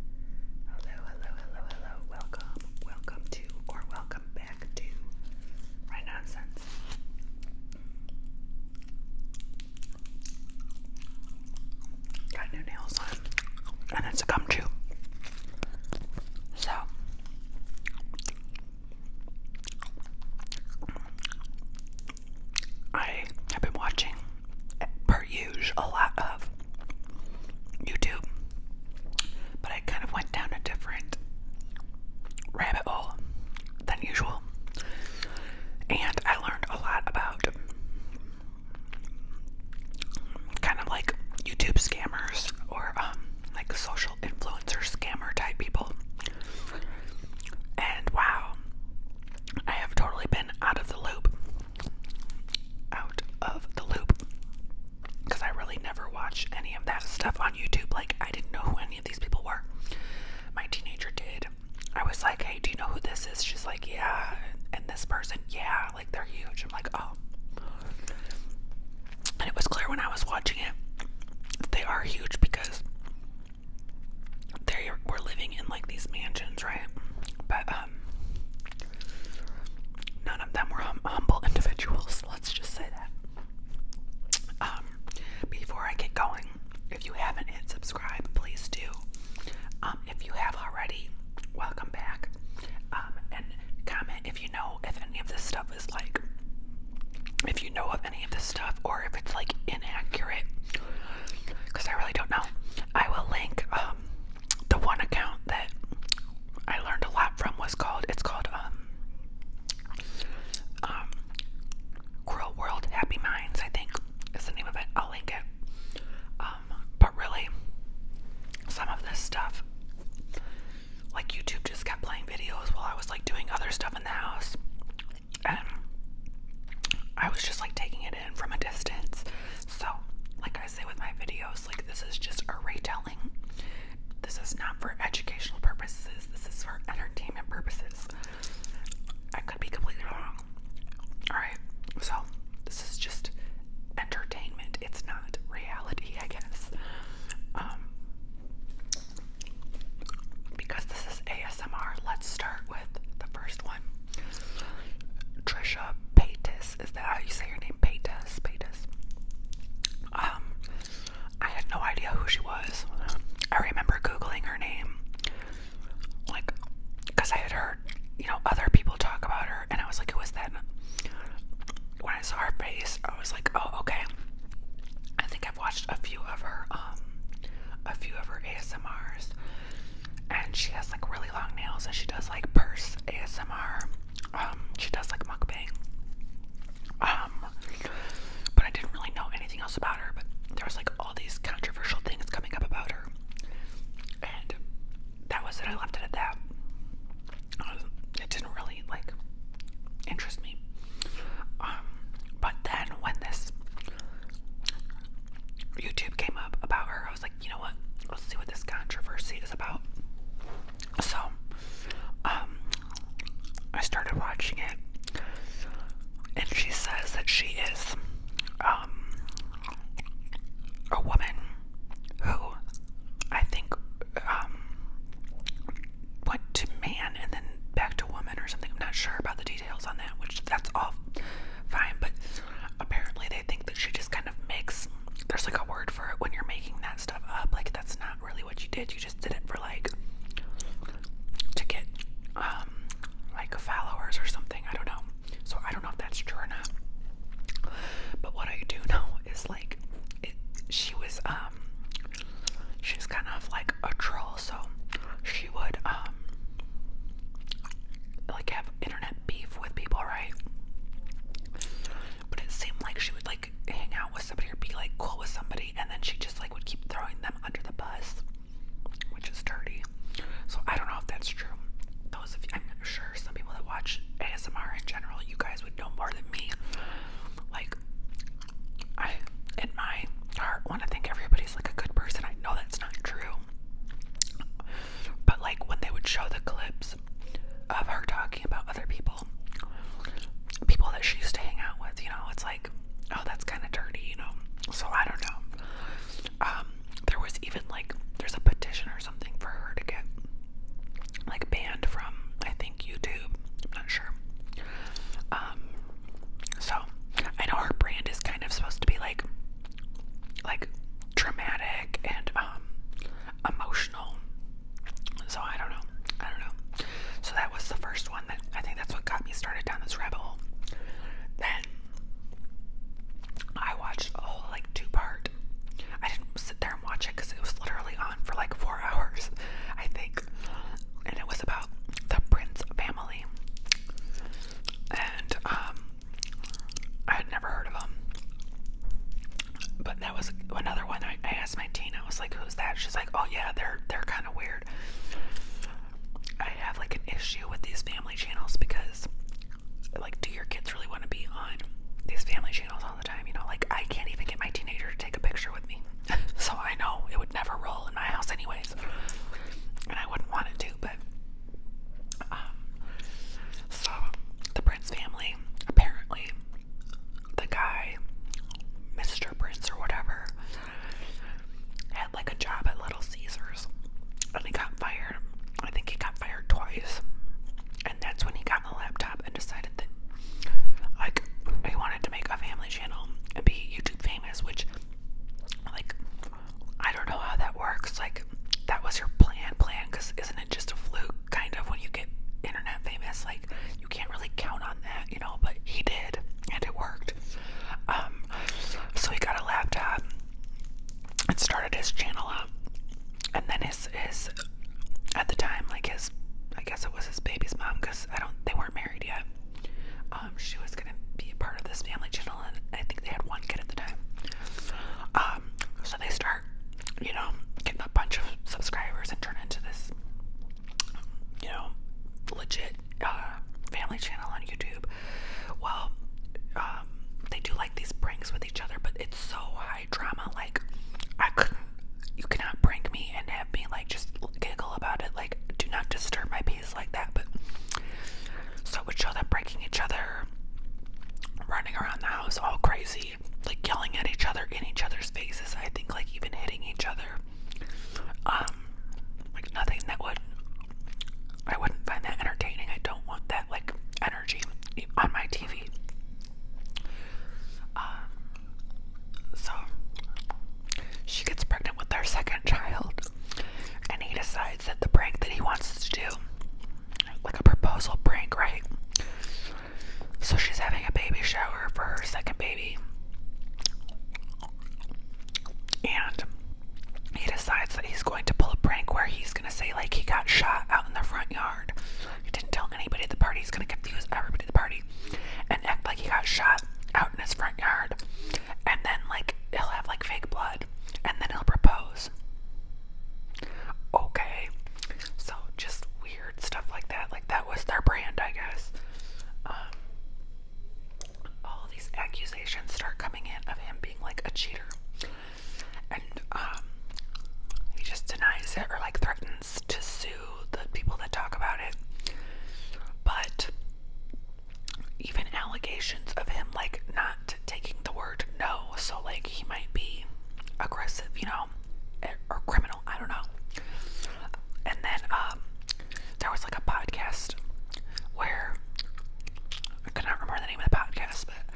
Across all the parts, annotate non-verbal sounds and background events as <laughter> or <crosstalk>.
Hello, hello, hello, hello. Welcome, welcome to, or welcome back to My Nonsense. Got new nails on, and it's a gum chew. So, I have been watching eh, per a lot of YouTube, but I kind of went down a different rabbit hole than usual, and I learned a lot about kind of like YouTube scammers or um, like social influencer scammer type people. And wow, I have totally been out of the loop out of the loop because I really never watched any of that stuff on YouTube. Like, I didn't know who any of these people were. My teenager did. I was like, hey, do you know who this is? She's like, yeah. And this person, yeah, like they're huge. I'm like, oh. And it was clear when I was watching it they are huge because they were living in like these mansions, right? But, um, none of them were humble individuals. <laughs> Let's just say that. Um, before I get going, if you haven't hit subscribe, please do. Um, if you have already, welcome back. and comment if you know if any of this stuff is like, if you know of any of this stuff, or if it's like inaccurate, because I really don't know. I will link the one account that I learned a lot from was called it's called um um Cruel World Happy Minds, I think is the name of it. I'll link it. Um, but really some of this stuff like YouTube just kept playing videos while I was like doing other stuff in the house. And I was just like taking it from a distance. So, like I say with my videos, like this is just a retelling. This is not for educational purposes, this is for entertainment purposes. I could be completely wrong. Alright, so this is just entertainment, it's not reality, I guess. Um, because this is ASMR, let's start with the first one. Trisha Paytas. Is that how you say her name? Paytas. Paytas. Um, I had no idea who she was. I remember googling her name, like, cause I had heard, you know, other people talk about her, and I was like, was that? When I saw her face, I was like, oh, okay. I think I've watched a few of her, um, a few of her ASMRs and she has like really long nails and she does like purse ASMR. Um, she does like mukbang. Um, but I didn't really know anything else about her, but there was like all these controversial things coming up about her. And that was it. I left it at that. Um, it didn't really like interest me. but then when this YouTube came up about her, I was like, you know what? Let's see what this controversy is about. So, um, I started watching it, and she says that she is, um, a woman who I think, um, went to man and then back to woman or something. I'm not sure about the details on that, which that's all fine, but Apparently, they think that she just kind of makes. There's like a word for it when you're making that stuff up. Like that's not really what you did. You just did it for like to get um, like followers or something. I don't know. So I don't know if that's true or not. But what I do know is like she was um she's kind of like a troll. So she she would um like have internet beef with people, right? But it seemed like she would like hang out with somebody or be like cool with somebody and then she just like would keep throwing them under the bus, which is dirty. So I don't know if that's true. Those I'm sure some people that watch ASMR in general, you guys would know more than me. Like I in my heart want to think everybody's like a good person. I know that's not true. But like when they would show the clips of her talking about other people, people that she used to hang out with, you know, it's like, oh, that's kind of dirty, you know. So I don't know. Um, there was even like there's a petition or something for her to get like banned from I think YouTube. I'm not sure. Um, so I know her brand is kind of supposed to be like like dramatic and um, emotional. So I don't know. I don't know. So that was the first one that I think that's what got me started down this rabbit hole. Then I watched a whole like two part. I didn't sit there and watch it because it was literally on for like four <laughs> hours, I think. And it was about the Prince family and um, I had never heard of them. But that was another one. I, I asked my teen. I was like, "Who's that?" She's like, "Oh yeah, they're they're kind of weird." I have like an issue with these family channels because, like, do your kids really want to be on these family channels all the time? You know, like I can't even get my teenager to take a picture with me, <laughs> so I know it would never roll in my house anyways, and I wouldn't want it to, but. Um, so, the Prince family, apparently, the guy, Mr. Prince or whatever, had like a job at Little Caesars and he got fired. I think he got fired twice. And that's when he got the laptop and decided that, like, he wanted to make a family channel and be YouTube famous, which, like, I don't know how that works. Like, that was your plan, plan, because isn't it just a fluke, kind of, when you get internet famous? Like, you can't really count on that, you know, but he did, and it worked. Um, so he got a laptop and started his channel up, and then his, his at the time, like his, I guess it was his baby's mom, because I don't, they weren't married yet. Um, she was gonna be a part of this family channel, and I think they had one kid at the time. Um, so they start, you know, getting a bunch of subscribers and turn into this, you know, legit uh, family channel on YouTube. Well, um, they do like these pranks with each other, but it's so high drama. Like, I couldn't. You cannot prank me and have me like just giggle about it. Like, do not disturb my peace like that, but so would show them breaking each other, running around the house all crazy, like yelling at each other in each other's faces. I think like even hitting each other. Um, like nothing that would I wouldn't find that entertaining. I don't want that like energy on my TV. Um, so she gets pregnant with their second child and he decides that the prank that he wants to do, like a proposal prank, right? So she's having a baby shower for her second baby, and he decides that he's going to pull a prank where he's gonna say, like, he got shot out in the front yard. He didn't tell anybody at the party, he's gonna confuse everybody at the party and act like he got shot out in his front yard and then like he'll have like fake blood and then he'll propose. Okay. So just weird stuff like that. Like that was their brand, I guess. Um, all these accusations start coming in of him being like a cheater. And um, he just denies it or like threatens to sue the people that talk about it. But even allegations of him like not taking the word no. So like he might be aggressive, you know, eh, or criminal. I don't know. And then um, there was like a podcast where I cannot remember the name of the podcast, but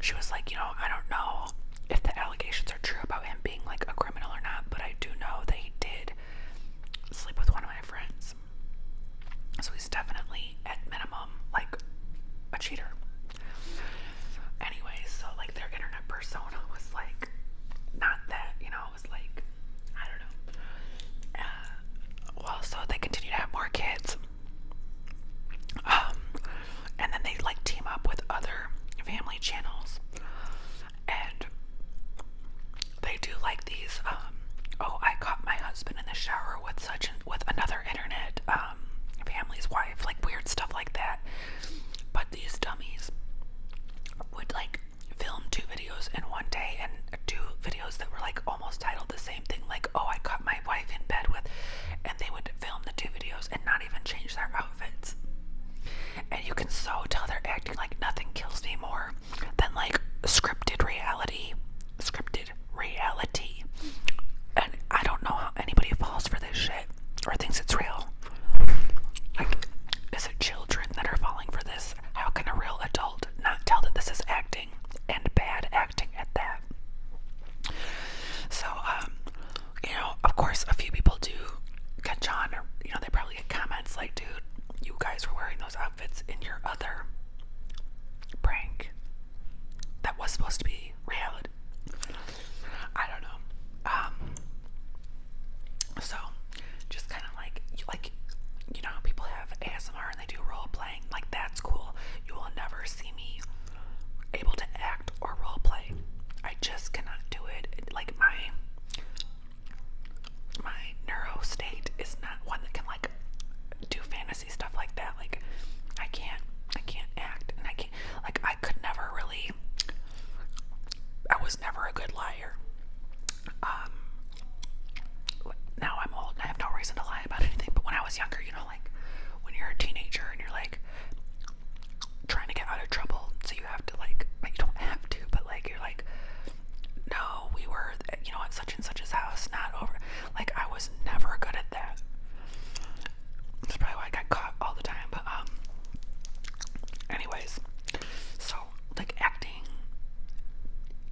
she was like, you know, I don't know if the allegations are true about him being like a criminal or not, but I do know that he did sleep with one of my friends. So he's definitely at minimum like a cheater. Anyway, so like their internet persona <laughs> was like not that, you know, it was like I don't know. Uh, well, so they continue to have more kids. Um, and then they like team up with other family channels and they do like these. Um, oh, I caught my husband in the shower with such with another internet um, family's wife, like weird stuff like that. But these dummies would like film two videos in one day and do videos that were like almost titled the same thing, like "Oh, I caught my wife in bed with," and they would film the two videos and not even change their outfits. And you can so tell they're acting like nothing kills me more better than like scripted reality. Scripted reality. And I don't know how anybody falls for this shit or thinks it's real. Like, is it children that are falling for this? How can a real adult not tell that this is acting and bad acting at that? So, um, you know, of course, a few people do catch on, or you know, they probably get comments like, dude, you guys were wearing those outfits it's in your other prank that was supposed to be reality. I don't know. Um, so just kind of like like you know people have ASMR and they do role playing, like that's cool. You will never see me able to act or role play. I just cannot do it. Like my my neuro state is not one that can like do fantasy stuff like that. Like I can't I can't act and I can't like I could never really I was never a good liar. Um now I'm old and I have no reason to lie about anything, but when I was younger, you know, like when you're a teenager and you're like trying to get out of trouble, so you have to like you don't have to, but like you're like no, we were, you know, at such and such's house, not over. Like, I was never good at that. That's probably why I got caught all the time. But, um, anyways, so, like, acting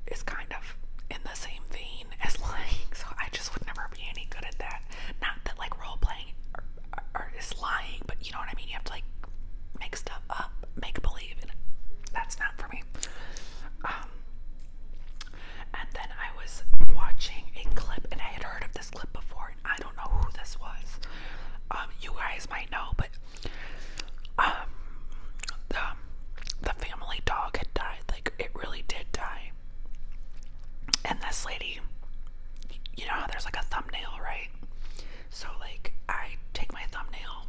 is kind of in the same vein <laughs> as lying. So, I just would never be any good at that. Not that, like, role playing or, uh, or, uh, or is lying, but you know what I mean? You have to, like, make stuff up, make that's not for me. Um, and then I was watching a clip, and I had heard of this clip before, and I don't know who this was. Um, you guys might know, but um, the, the family dog had died. Like, it really did die. And this lady, you know there's like a thumbnail, right? So like I take my thumbnail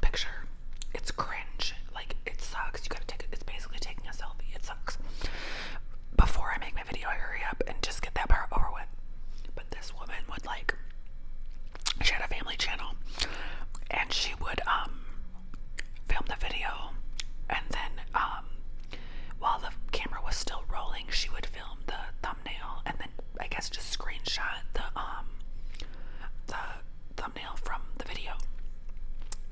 picture. It's cringe. Like it sucks. You gotta take it. It's basically taking a selfie. It sucks. Before I make my video, I hurry up and just get that part over with. But this woman would like. She had a family channel, and she would um film the video, and then um while the camera was still rolling, she would film the thumbnail and then I guess just screenshot the um the thumbnail from the video.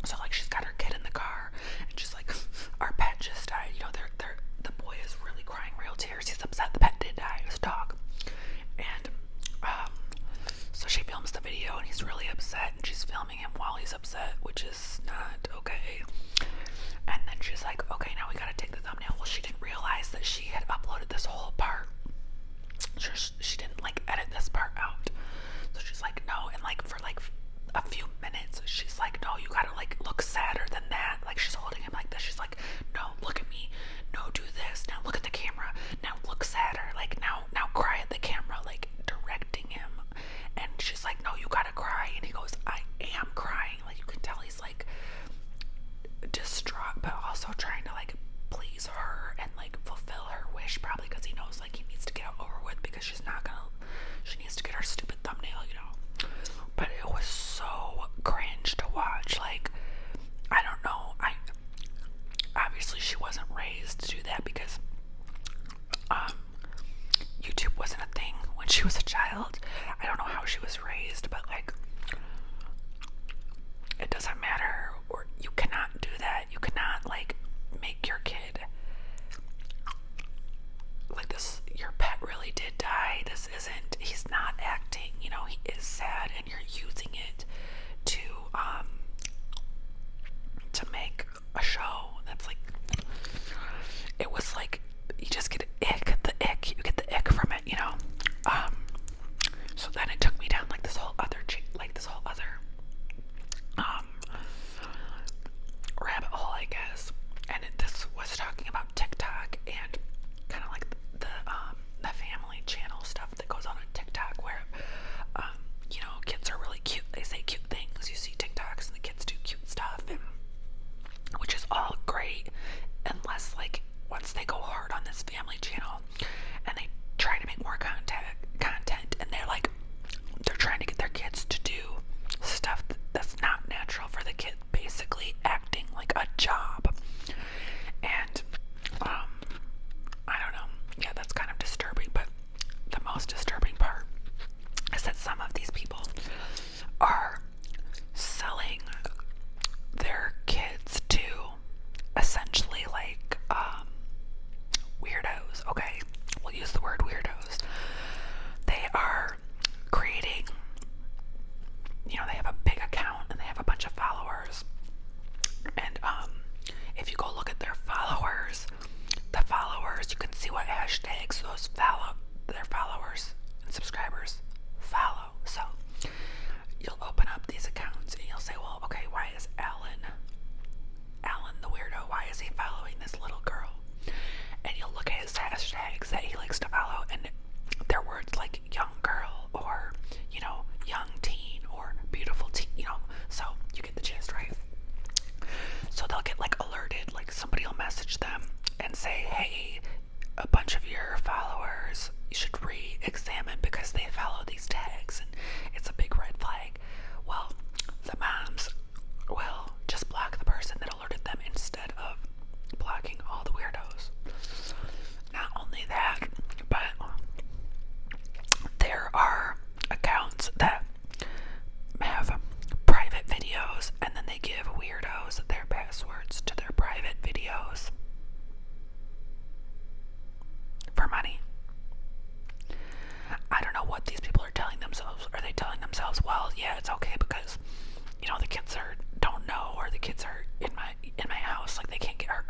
So like she's got her kid in the car and she's like <laughs> our pet just died. You know, they're they're the boy is really crying real tears. He's upset the pet did die. His dog. And um so she films the video and he's really upset and she's filming him while he's upset, which is not okay. And then she's like, Okay, now we gotta take take thumbnail. Well, she didn't realize that she had uploaded this whole part. she didn't like edit this part out. So she's like, no, and like for like a few minutes, she's like, no, you gotta like look sadder than that. Like she's holding him like this. She's like, no, look at me. No, do this. Now look at the camera. Now look sadder. Like now, now cry at the camera. Like directing him. And she's like, no, you gotta cry. And he goes, I am crying. Like you can tell he's like distraught but also trying to like please her and like fulfill her wish probably because he knows like he needs to get over with because she's not gonna she needs to get her stupid thumbnail you know but it was so cringe to watch like i don't know i obviously she wasn't raised to do that because um youtube wasn't a thing when she was a child i don't know how she was raised, but like it doesn't matter or you cannot do that. You cannot like make your kid like this your pet really did die. This isn't he's not acting, you know, he is sad and you're using it to um to make a show that's like it was like you just get the ick, you get the ick from it, you know. Um, so then it took me down like this whole other, like this whole other, um, rabbit hole, I guess. And this was talking about TikTok and kind of like the um, the family channel stuff that goes on on TikTok, where you know kids are really cute. They say cute things. You see TikToks and the kids do cute stuff which is all great unless like once they go hard on this family channel and they try to make more content content and they're like they're trying to get their kids to do stuff that's not natural for the kid basically acting like a job and um i don't know yeah that's kind of disturbing but the most disturbing part is that some of these people are selling their kids to essentially like um, weirdos, okay? We'll use the word weirdos. They are creating you know, they have a big account and they have a bunch of followers. And um, if you go look at their followers, the followers, you can see what hashtags those follow their followers and subscribers follow. So you'll open up these accounts and you'll say, well, okay, why is Alan, Alan the weirdo, why is he following this little girl? And you'll look at his hashtags that he likes to follow, and they're words like young girl or, you know, young teen or beautiful teen, you know. So you get the gist, right? So they'll get like alerted, like somebody will message them and say, hey, a bunch of your followers should re examine because they follow these tags and it's a big red flag. Well, the moms will just block the person that alerted them instead of blocking all the weirdos. Not only that, but there are accounts that have private videos and then they give weirdos their password passwords to their private videos for money. I don't know what these people are telling themselves. Are they telling themselves, well, yeah, it's okay because you know the kids are don't know or the kids are in my in my house like they can't get hurt.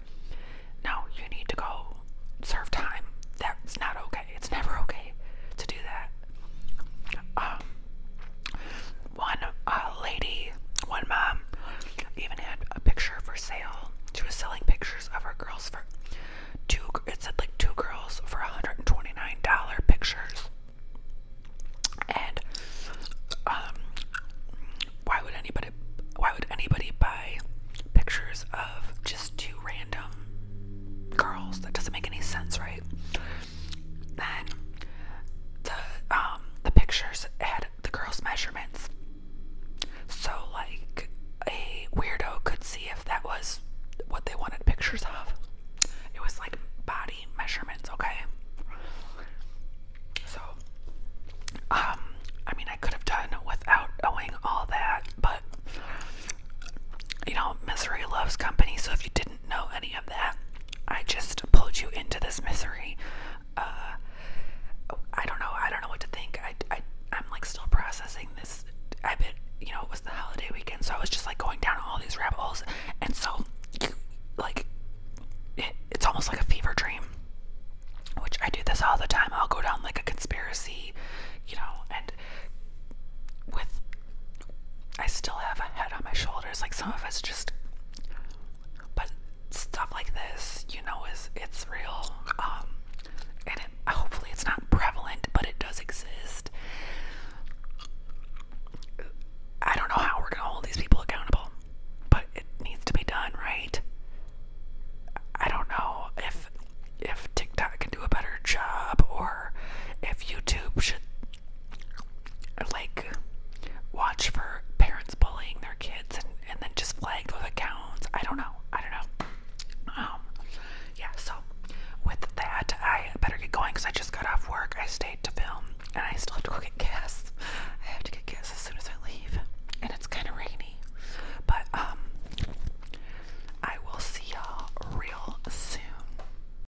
No, you need to go serve time. That's not okay. It's never okay to do that. Um, one uh, lady, one mom, even had a picture for sale. She was selling pictures of her girls for two. It said like two girls for $129 pictures. And um, why would anybody? Why would anybody buy pictures of just two random girls? That doesn't make any sense, right? Then the um the pictures had the girl's measurements. So like a weirdo could see if that was what they wanted pictures of. It was like body measurements, okay? So um I mean I could have done without knowing all that, but you know, misery loves company, so if you didn't know any of that, I just pulled you into this misery. Uh, I don't know. I don't know what to think. I, I, I'm like still processing this. I've been, you know, it was the holiday weekend, so I was just like going down all these rabbit holes. And so, like, it's almost like a fever dream, which I do this all the time. I'll go down like a conspiracy, you know, and with I still have a head on my shoulders. Like some of us just, but stuff like this, you know, is it's real. Um, and hopefully it's not prevalent, but it does exist. I don't know how we're gonna hold these people accountable, but it needs to be done, right? I don't know if if TikTok can do a better job or if YouTube should like watch for parents bullying their kids and, and then just flag those accounts. I don't know. I don't know. Um, yeah, so with that, I better get going because I just got off work. I stayed to film and I still have to go get gas. I have to get gas as soon as I leave. And it's kind of rainy. But, um, I will see y'all real soon.